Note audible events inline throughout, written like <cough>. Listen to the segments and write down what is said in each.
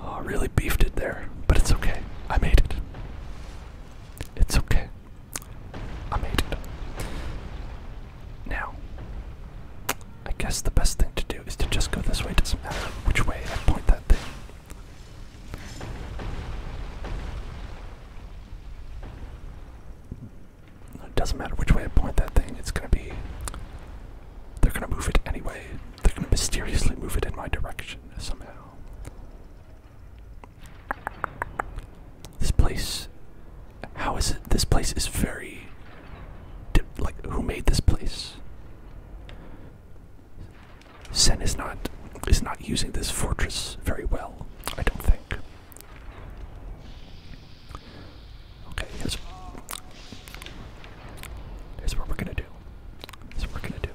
oh, really beefed it there, but it's okay. I made it. It's okay. I made it. Now, I guess the best thing to do is to just go this way. doesn't matter which way I point that thing. It doesn't matter which way I point that thing, it's gonna be. They're gonna move it anyway. They're gonna mysteriously move it in my direction somehow. This place. How is it? This place is very. like, who made this place? Sen is not is not using this fortress very well, I don't think. Okay, here's, what we're gonna do. Here's what we're gonna do.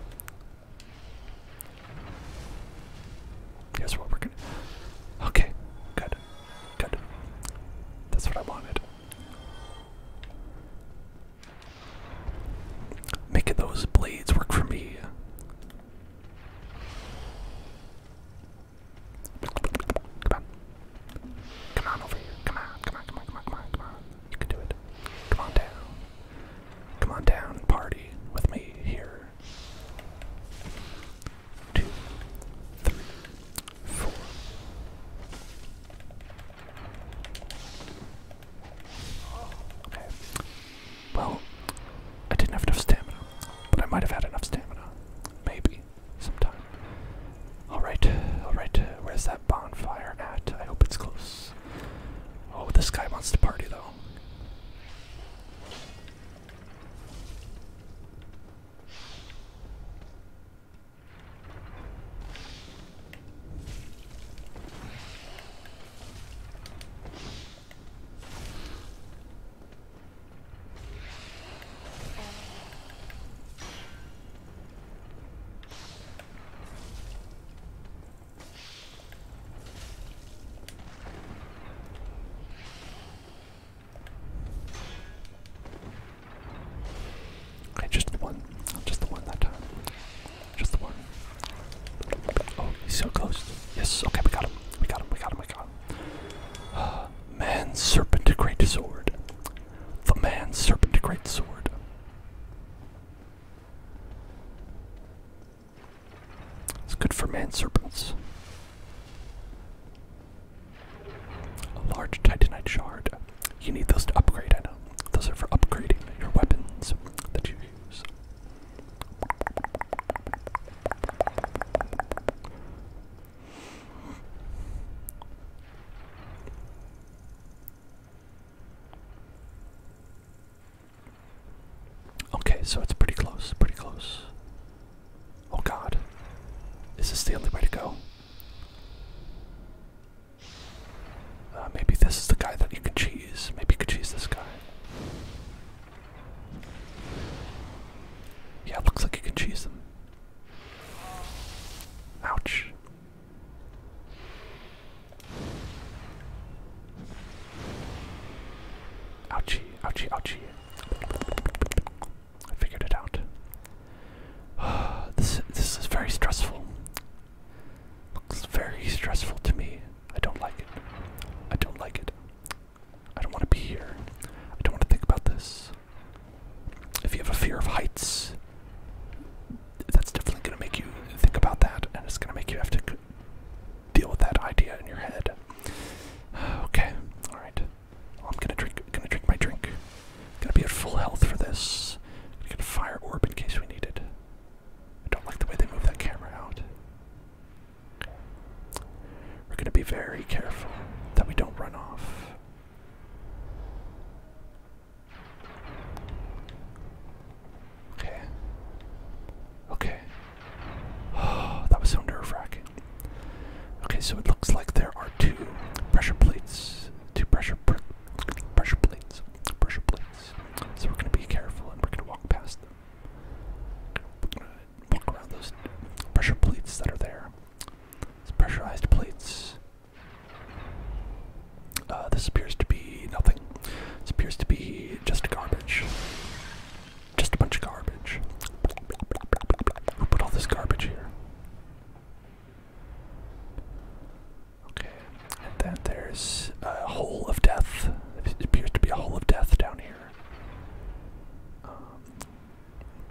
Here's what we're gonna Okay, good. Good. That's what I wanted. Making those blades work for me. Come on. Come on over here. Come on, come on, come on, come on, come on, You can do it. Come on down. Come on down, party with me here. Two, three, four. Okay. Well, I didn't have enough stamina, but I might have had enough stamina. Maybe maybe sometime. Alright, alright, where's that bonfire at? I hope it's close. Oh, this guy wants to party though. Okay, just the one. Just the one that time. Just the one. Oh, he's so close. Yes, okay, we got him. We got him, we got him, we got him. Uh, man serpent great sword. The man serpent great sword. It's good for man serpents. A large titanite shard. You need those to upgrade, I know. Those are for upgrading your weapons that you use. Okay, so it's pretty close, pretty close. Oh god. Is this the only way to go? Uh, maybe this is the guy that you could choose. Maybe you could choose this guy. Yeah, looks like you can cheese them. Ouch. Ouchie, ouchie, ouchie. I figured it out. <sighs> this this is very stressful. Looks very stressful to me. I don't like it. I don't like it. I don't want to be here. I don't want to think about this. If you have a fear of heights, that's definitely going to make you think about that, and it's going to make you have to deal with that idea in your head. <sighs> Okay, all right. I'm gonna drink. Gonna drink my drink. Gonna be at full health for this. Gonna get a fire orb in case we need it. I don't like the way they move that camera out. We're going to be very careful that we don't run off. Okay. Okay. Oh, <sighs> that was so nerve wracking. Okay, so it looks like there are two pressure plates. Two pressure pr pressure plates. Pressure plates. So we're gonna be careful and we're gonna walk past them walk around those pressure plates that are there. pressurized plates. Uh, this appears to be nothing. This appears to be just garbage. Just a bunch of garbage. Who put all this garbage here? Okay, and then there's a hole of death. It appears to be a hole of death down here. Um,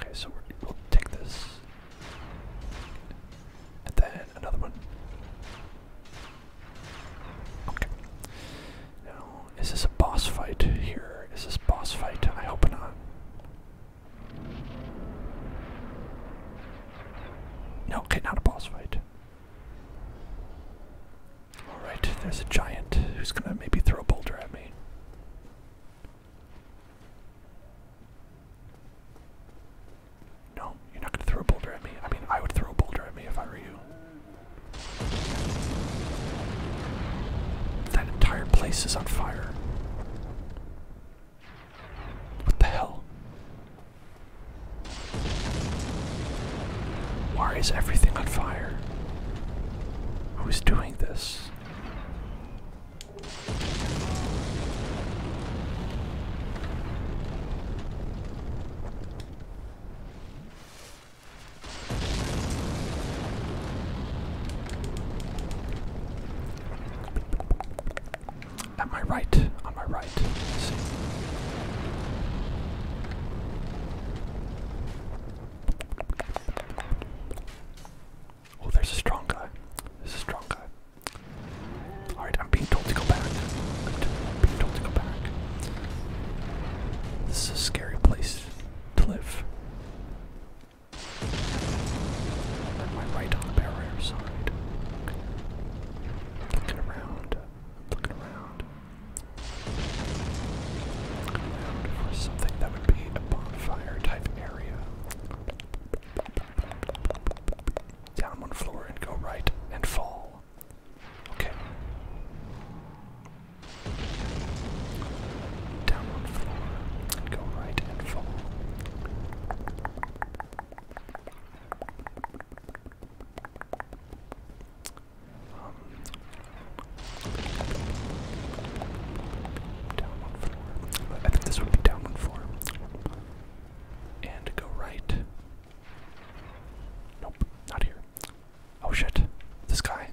Okay, so we will take this. And then another one. Okay. Now, is this a boss fight here? Is this boss fight? I hope not. No, okay, not a boss fight. Alright, there's a giant who's gonna maybe throw a boulder at me. No, you're not going to throw a boulder at me. I mean, I would throw a boulder at me if I were you. That entire place is on fire. What the hell? Why is everything on fire? Who's doing this? this. At my right, on my right. Let's see. Oh, there's a strong guy. There's a strong guy. Alright, I'm being told to go back. I'm being told to go back. This is a scary place to live. Am I right on the barrier side? Looking around. Looking around. Around for something that would be a bonfire type area. Down one floor and go right and fall. Okay. Down one floor and go right and fall down one floor. I think this would be down one floor. And go right. Nope, not here. Oh shit. This guy.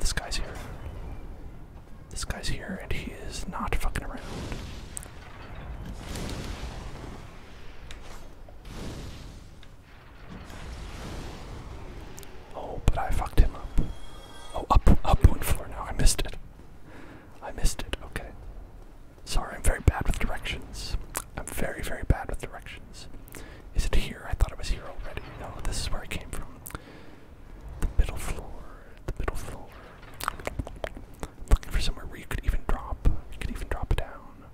This guy's here. This guy's here and he is not fucking around. Oh, but I fucked him up. Oh, up, up one floor now. I missed it. I missed it. Okay. Sorry, I'm very bad with directions. I'm very, very bad with directions. Is it here? I thought it was here already. No, this is where I came from. The middle floor. The middle floor. Looking for somewhere where you could even drop. You could even drop it down.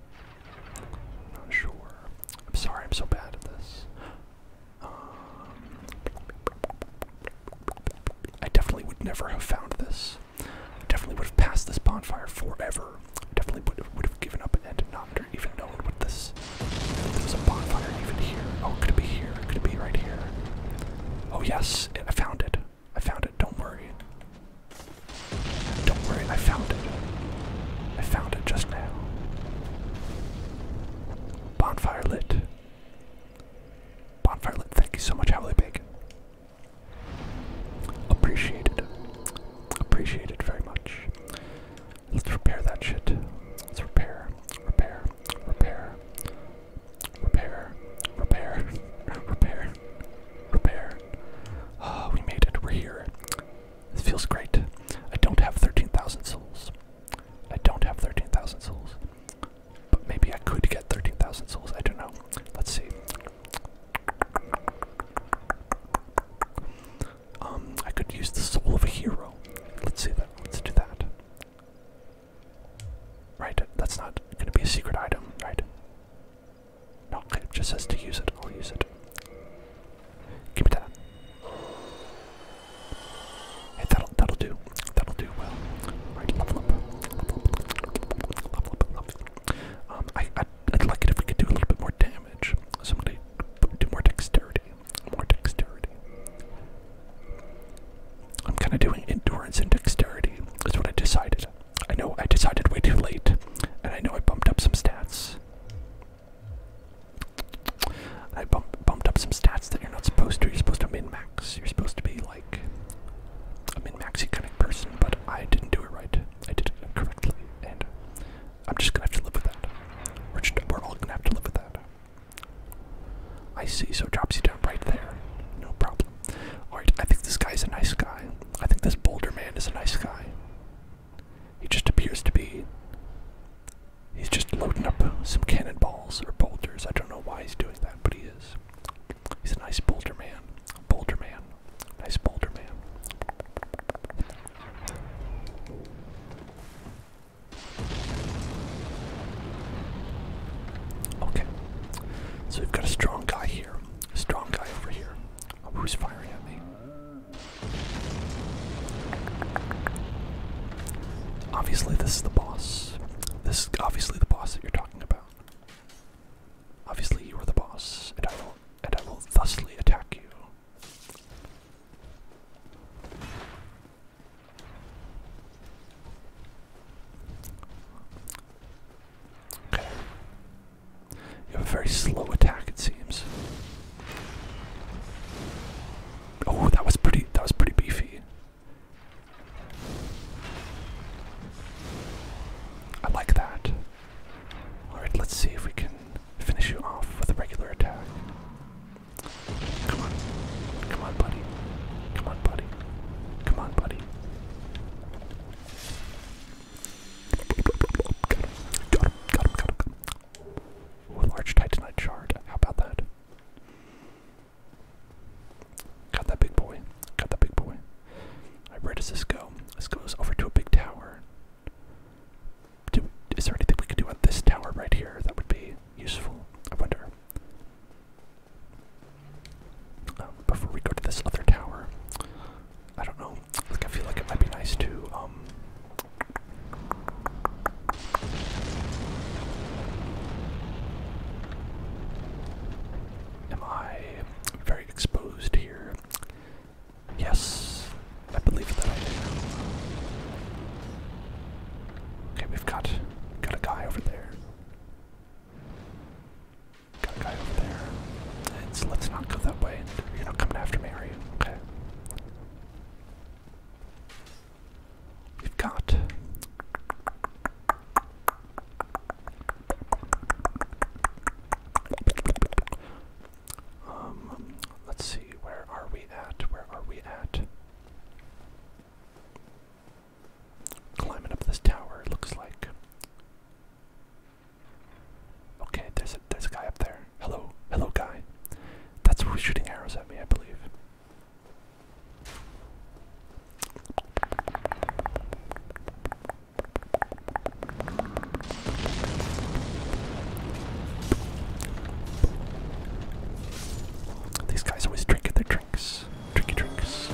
I'm not sure. I'm sorry, I'm so bad at this. Um, I definitely would never have found this. I definitely would have passed this bonfire forever. definitely would have, would have given up and not even known what this. There was a bonfire even here. Oh, could it be here? Could it be right here? Oh yes, I found it. I found it. Don't worry. Don't worry. I found it. I found it just now. Bonfire lit. Bonfire lit. Thank you so much, Howley Bacon. Appreciated. Appreciated very much. Let's repair that shit. Let's repair. Repair. Repair. Repair. Repair. <laughs> Repair. Repair. Ah, oh, we made it. We're here. This feels great. I don't have 13,000 souls. I don't have 13,000 souls. But maybe I could get 13,000 souls. I don't know. Let's see. Um, I could use the soul of a hero. Let's see that. Let's do that. Right, that's not going to be a secret item, right? No, it just says to use it. I'll use it. Give me that. Hey, that'll that'll do. That'll do well. Alright, Um, I I'd, like it if we could do a little bit more damage. Somebody do more dexterity. More dexterity. I'm kind of doing endurance and dexterity. That's what I decided. I know I decided way too late, and I know I bumped up some stats. I bumped up some stats that you're not supposed to. You're supposed to min max. You're supposed to be like a min maxy kind of person, but I didn't do it right. I did it incorrectly, and I'm just gonna have to live with that. We're, all gonna have to live with that. I see, so it drops you down right there. No problem. Alright, I think this guy's a nice guy. I think this boulder man is a nice guy. He just appears to be. He's just loading up some cannonballs or boulders. I don't know why he's doing that, but he is. He's a nice boulder man. Boulder man. Nice boulder man. Okay. So we've got a strong guy here. A strong guy over here. Oh, who's firing at me? Obviously, this is the boss. This is obviously the boss that you're talking about. Obviously, you are the boss, and I will, and I will thusly attack you. Okay. You have a very slow attack, it seems. Oh, that was pretty. That was pretty beefy. I like that. All right, let's see if we can finish you off with a regular attack. Come on, come on, buddy. Come on, buddy. Come on, buddy. Got him, got him, got him, got him. Ooh, large titanite shard. How about that? Got that big boy. Got that big boy. Alright, where does this go? This goes over to a big tower. is there anything we could do on this tower right here that would be useful? I wonder. Oh, before we go to this other tower, I don't know. I feel like it might be nice to um, Am I very exposed here? Yes, I believe that I am. Okay, we've got got a guy over there. Got a guy over there. let's not go that way. You're not coming after me, are you? Okay. We've got um let's see where are we at? Where are we at? Climbing up this tower looks like. Okay, there's a there's a guy up there. Hello, hello, guy. That's who's shooting arrows at me, I believe. These guys always drinking their drinks. drinking drinks.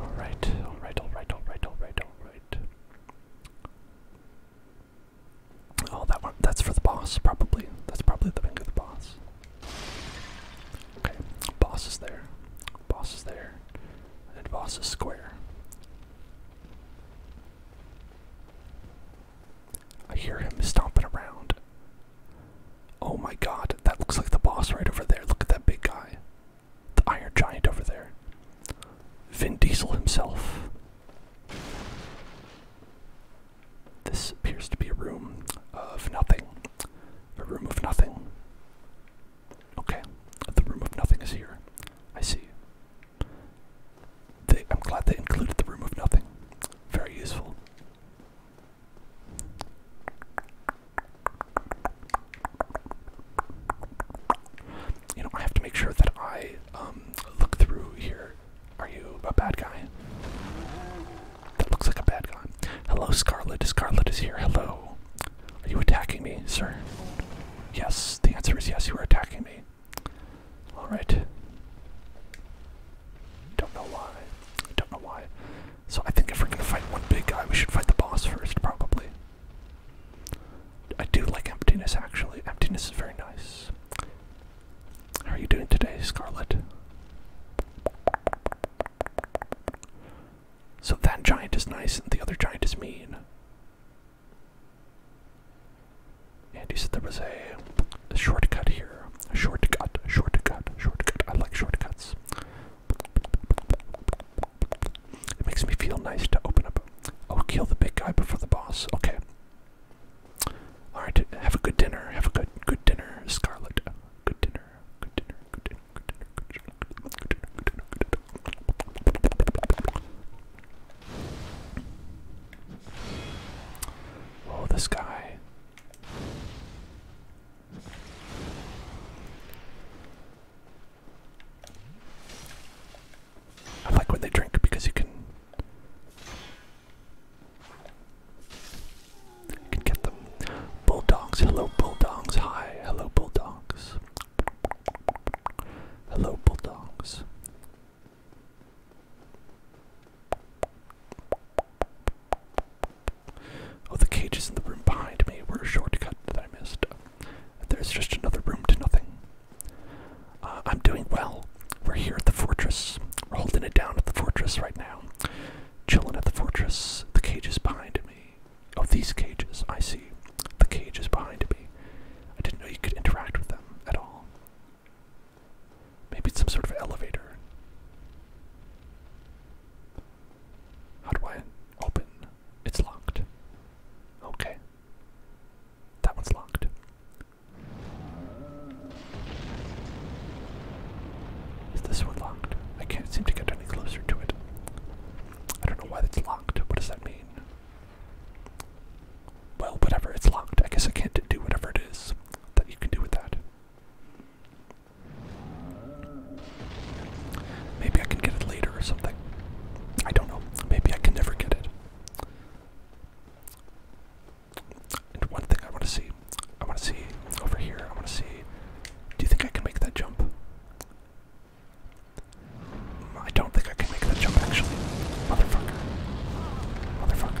Alright, alright, alright, alright, alright, alright. Oh, that one. That's for the boss, probably. That's probably the wing the boss. Okay, boss is there. Boss is there. And boss is square. I hear him stomping around. Oh my god, that looks like the boss right over there. Look at that big guy the Iron Giant over there. Vin Diesel himself. This appears to be a room of nothing. A room of nothing. Okay, the room of nothing is here. I see. They, I'm glad they included the room of nothing. Very useful. You know, I have to make sure that I um, look through here. Are you a bad guy? That looks like a bad guy. Hello, Scarlet. Scarlet is here. Hello. Are you attacking me, sir? Yes, the answer is yes, you are attacking me. Alright. Don't know why. Don't know why. So I think if we're gonna fight one big guy, we should fight the boss first, probably. I do like emptiness actually. Emptiness is very nice. How are you doing today, Scarlet? So that giant is nice and the other giant is mean. And you said there was a, a shortcut here. A shortcut, shortcut, shortcut. I like shortcuts. It makes me feel nice to open up. I'll kill the big guy before the boss. Okay. All right. Have a good dinner. Have a good good dinner, Scarlet. Good dinner. Good dinner. Good dinner. Good dinner. Good dinner. Good dinner. Good dinner. Good dinner. Oh, this guy. I like when they drink because you can you can get them. Bulldogs, hello bulldogs, hi, hello bulldogs. Hello bulldogs. Oh, the cages in the room behind me were a shortcut that I missed. There's just another room to nothing. Uh, I'm doing well. We're here at the fortress. We're holding it down at the fortress right now. Chilling at the fortress. The cage is behind me. Oh, these cages. I see. The cage is behind me. I didn't know you could interact with them at all. Maybe it's some sort of elevator. How do I open? It's locked. Okay. That one's locked. Is this one locked? I can't seem to get any closer to it. I don't know why that's locked. What does that mean? Well, whatever, it's locked. I guess I can't do whatever it is that you can do with that. Maybe I can get it later or something. I don't know. Maybe I can never get it. And one thing I want to see, I want to see over here, I want to see. Do you think I can make that jump? I don't think I can make that jump actually. Motherfucker. Motherfucker.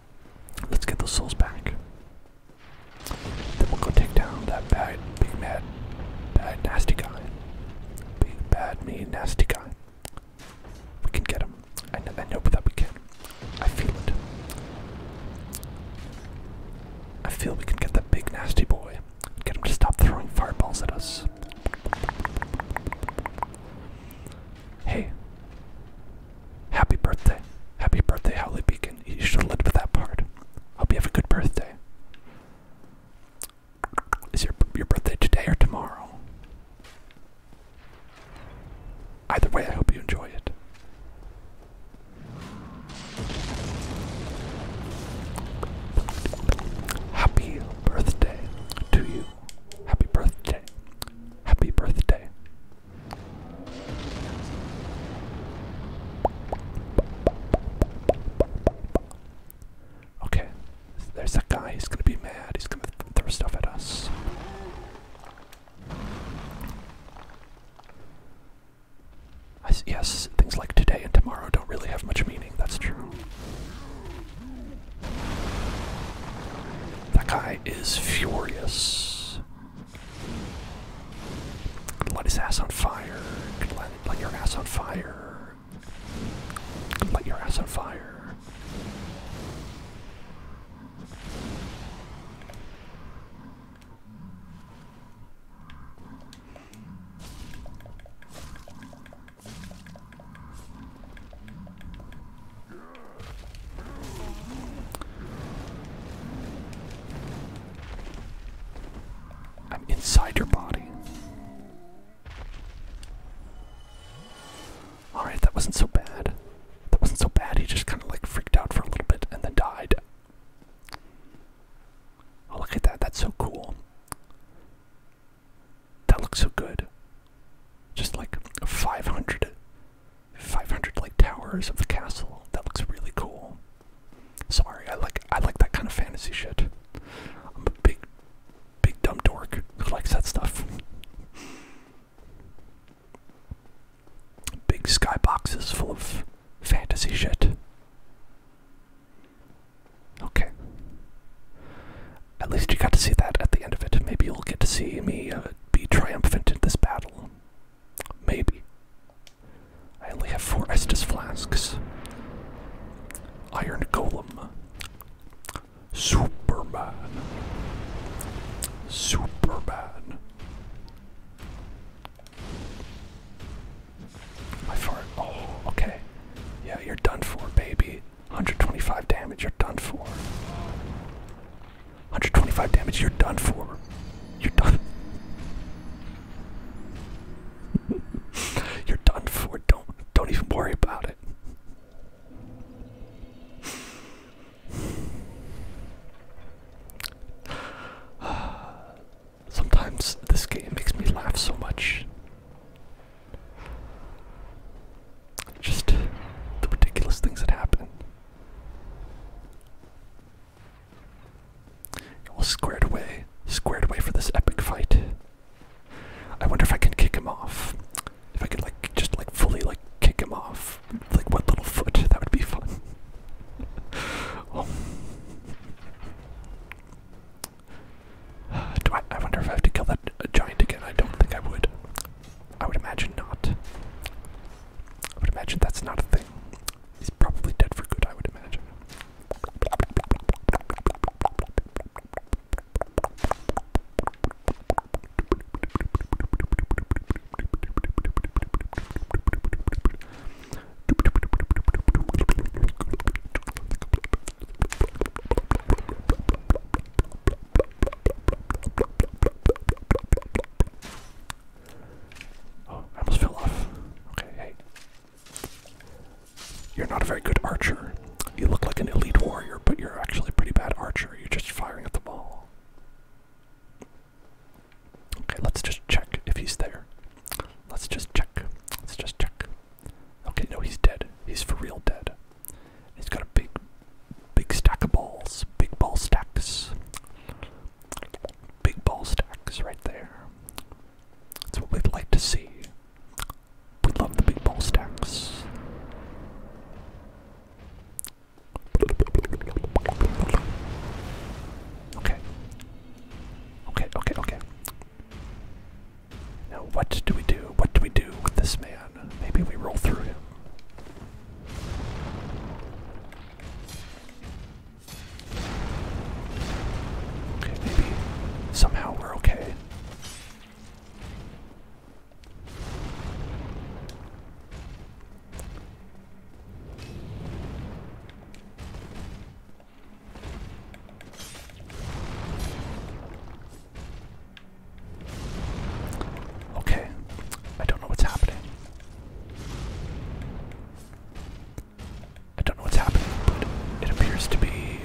Let's get those souls back. Then we'll go take down that bad, big, mad, bad, nasty guy. Big, bad, mean, nasty guy. We can get him. I know, I know that we can. I feel it. I feel we can get that big, nasty boy. Get him to stop throwing fireballs at us. Hey, Happy birthday. Happy birthday, Holly Beacon. You should have led with that part. Hope you have a good birthday. Is your your birthday today or tomorrow? Either way, I hope you enjoy it. Happy birthday to you. Happy birthday. Happy birthday. Okay, there's that guy. He's gonna be mad. He's gonna throw stuff at us. yes, things like today and tomorrow don't really have much meaning. That's true. That guy is furious. Let his ass on fire. let your ass on fire. Let your ass on fire. I'm inside your body. Alright, that wasn't so bad. That wasn't so bad, he just kind of like freaked out for a little bit and then died. Oh, look at that, that's so cool. That looks so good. Just like 500 500 like towers of the castle. That looks really cool. Sorry, I like I like that kind of fantasy shit. I'm a big, big dumb dork who likes that stuff. big sky boxes full of fantasy shit. Okay. At least you got to see that at the end of it. Maybe you'll get to see me uh, be triumphant in this battle maybe. I only have four Estus flasks. Iron Golem. Superman. Superman. My fart. Oh, okay. Yeah, you're done for, baby. 125 damage, you're done for. 125 damage, you're done for. You're done. <laughs> you're done for. Don't don't even worry about it. <sighs> Sometimes this game makes me laugh so much. Just the ridiculous things that happen. Well, squared away. Squared away for this epic fight. I wonder if I can kick him off. If I could, like, just, like, fully, like, kick him off. Like, one little foot. That would be fun. <sighs> Do I, I wonder if I have to kill that uh, giant again? I don't think I would. I would imagine not. I would imagine that's not a thing. He's probably dead for good, I would imagine. Oh, I almost fell off. Okay, hey. You're not a very good archer. You look like an elite warrior, but you're actually a pretty bad archer. You're just firing at the ball. Okay, let's just check if he's there. Let's just check. Let's just check. Okay, no, he's dead. He's for real dead. He's got a big, big stack of balls, big ball stacks, big ball stacks right there. That's what we'd like to see. We love the big ball stacks. Okay. Okay, okay, okay. Now, what do we do? What do we do with this man? Maybe we roll through him. maybe somehow we're okay. Okay, I don't know what's happening. I don't know what's happening, but it appears to be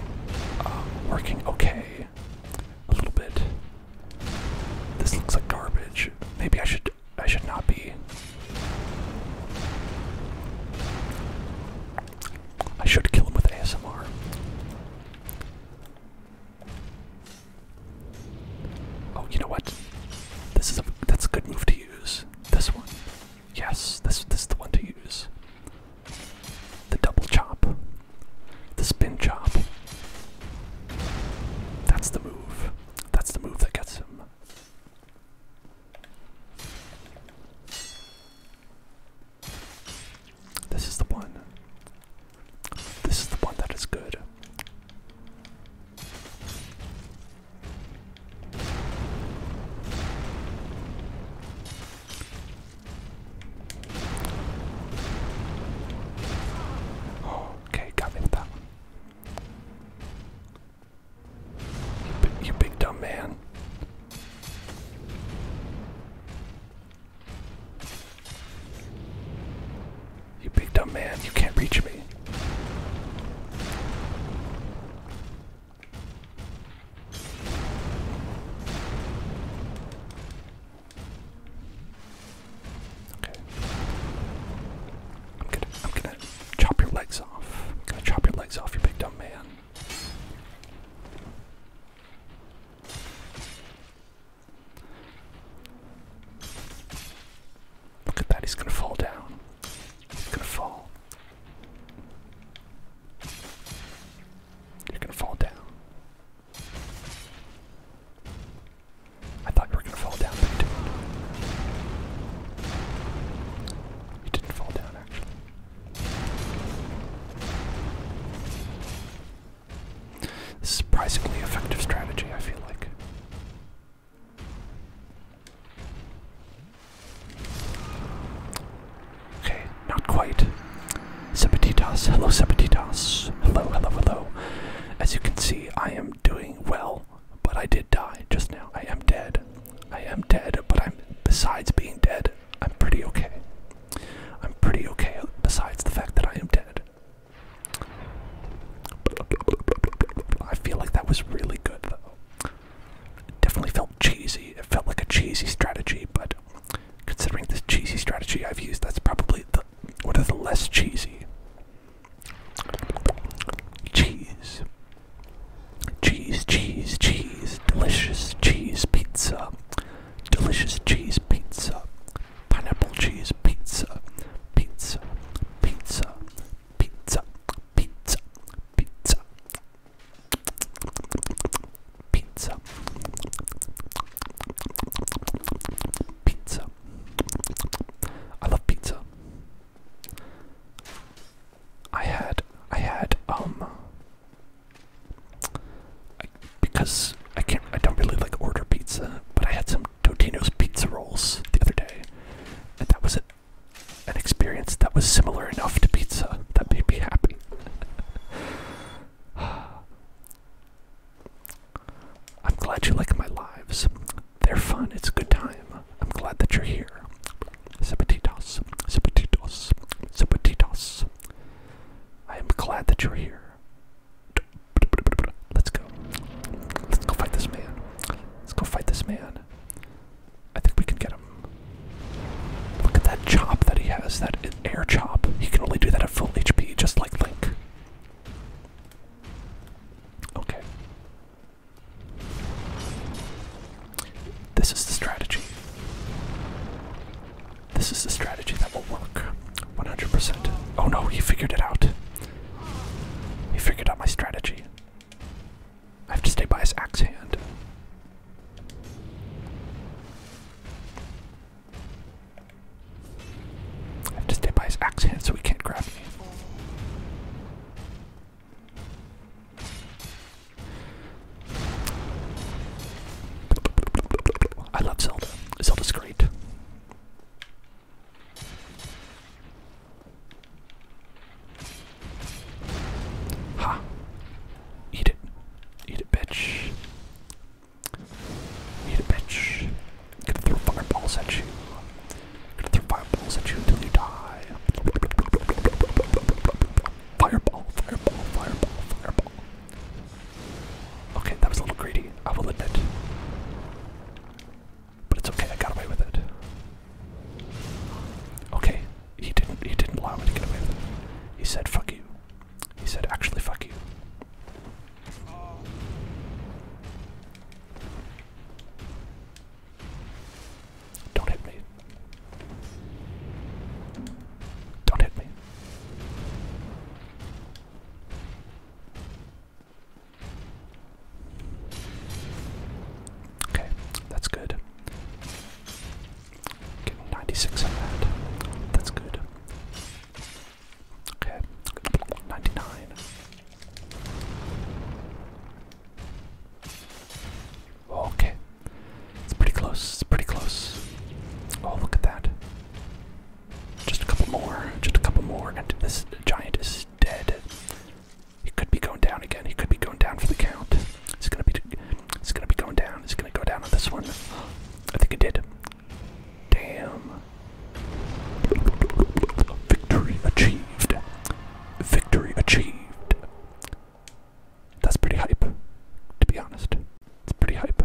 um, working okay. A little bit. This looks like garbage. Maybe I should I should not be. I should kill him with ASMR. Oh, you know what? This is a that's a good move to use. This one. Yes, this is the one to use. The double chop. The spin chop. That's the move. That's the move that gets him. This is the one. This is the one that is good. okay, got me that one. you big dumb man. You big dumb man, you can't reach me. Okay. I'm gonna I'm gonna chop your legs off. I'm gonna chop your legs off, you big dumb man. Look at that, he's gonna fall down. He's gonna fall. You're gonna fall down. I thought you were gonna fall down, but you didn't. You didn't fall down, actually surprisingly effective strategy, I feel like. Okay, not quite. Sepetitas, hello Sepetitas. Hello, hello, hello. As you can see, I am doing well, but I did die just now. I am dead. I am dead, but I'm besides being dead, I'm pretty okay. I'm pretty okay besides the fact that I am dead. I feel like that was really good though. It definitely felt cheesy. It felt like a cheesy strategy, but considering this cheesy strategy I've used, that's probably the one of the less cheesy. Cheese. Cheese, cheese, cheese. Delicious cheese pizza. Delicious cheese pizza pineapple cheese pizza, pizza, pizza, pizza, pizza, pizza, pizza, pizza. I love pizza. I had, I had, um, because I can't I don't really like order pizza, but I had some Totino's pizza rolls the other day. And that was an experience that was similar enough to pizza that made me happy. <sighs> I'm glad you like my lives. They're fun. It's a good time. I'm glad that you're here. Zapatitos. Zapatitos. Zapatitos. I am glad that you're here. Let's go. Let's go fight this man. Let's go fight this man. I think we can get him. Look at that chop that he has, that air chop. He can only do that at full HP, just like Link. Okay. This is the strategy. This is the strategy that will work 100%. Oh no, he figured it out. He figured out my strategy. I have to stay by his axe hand. I have to stay by his axe hand so he can't grab me. I love Zelda. Zelda's great. Ha! Eat it. Eat it, bitch. Eat it, bitch. gonna throw fireballs at you. gonna throw fireballs at you until you die. fireball, fireball, fireball, fireball. Okay, that was a little greedy, I will admit. But it's okay, I got away with it. Okay, he didn't he didn't allow me to get away with it. He said fuck you. He said actually fuck you. Don't hit me. Don't hit me. Okay, that's good. Getting 96 on that. That's good. Okay, 99. Okay, it's pretty close. It's pretty close. Oh, look at that. Just a couple more. Just a couple more. And this giant is dead. He could be going down again. He could be going down for the count. It's gonna be. It's gonna be going down. It's gonna go down on this one. I think it did. Damn. Victory achieved. Victory achieved. That's pretty hype, to be honest. It's pretty hype.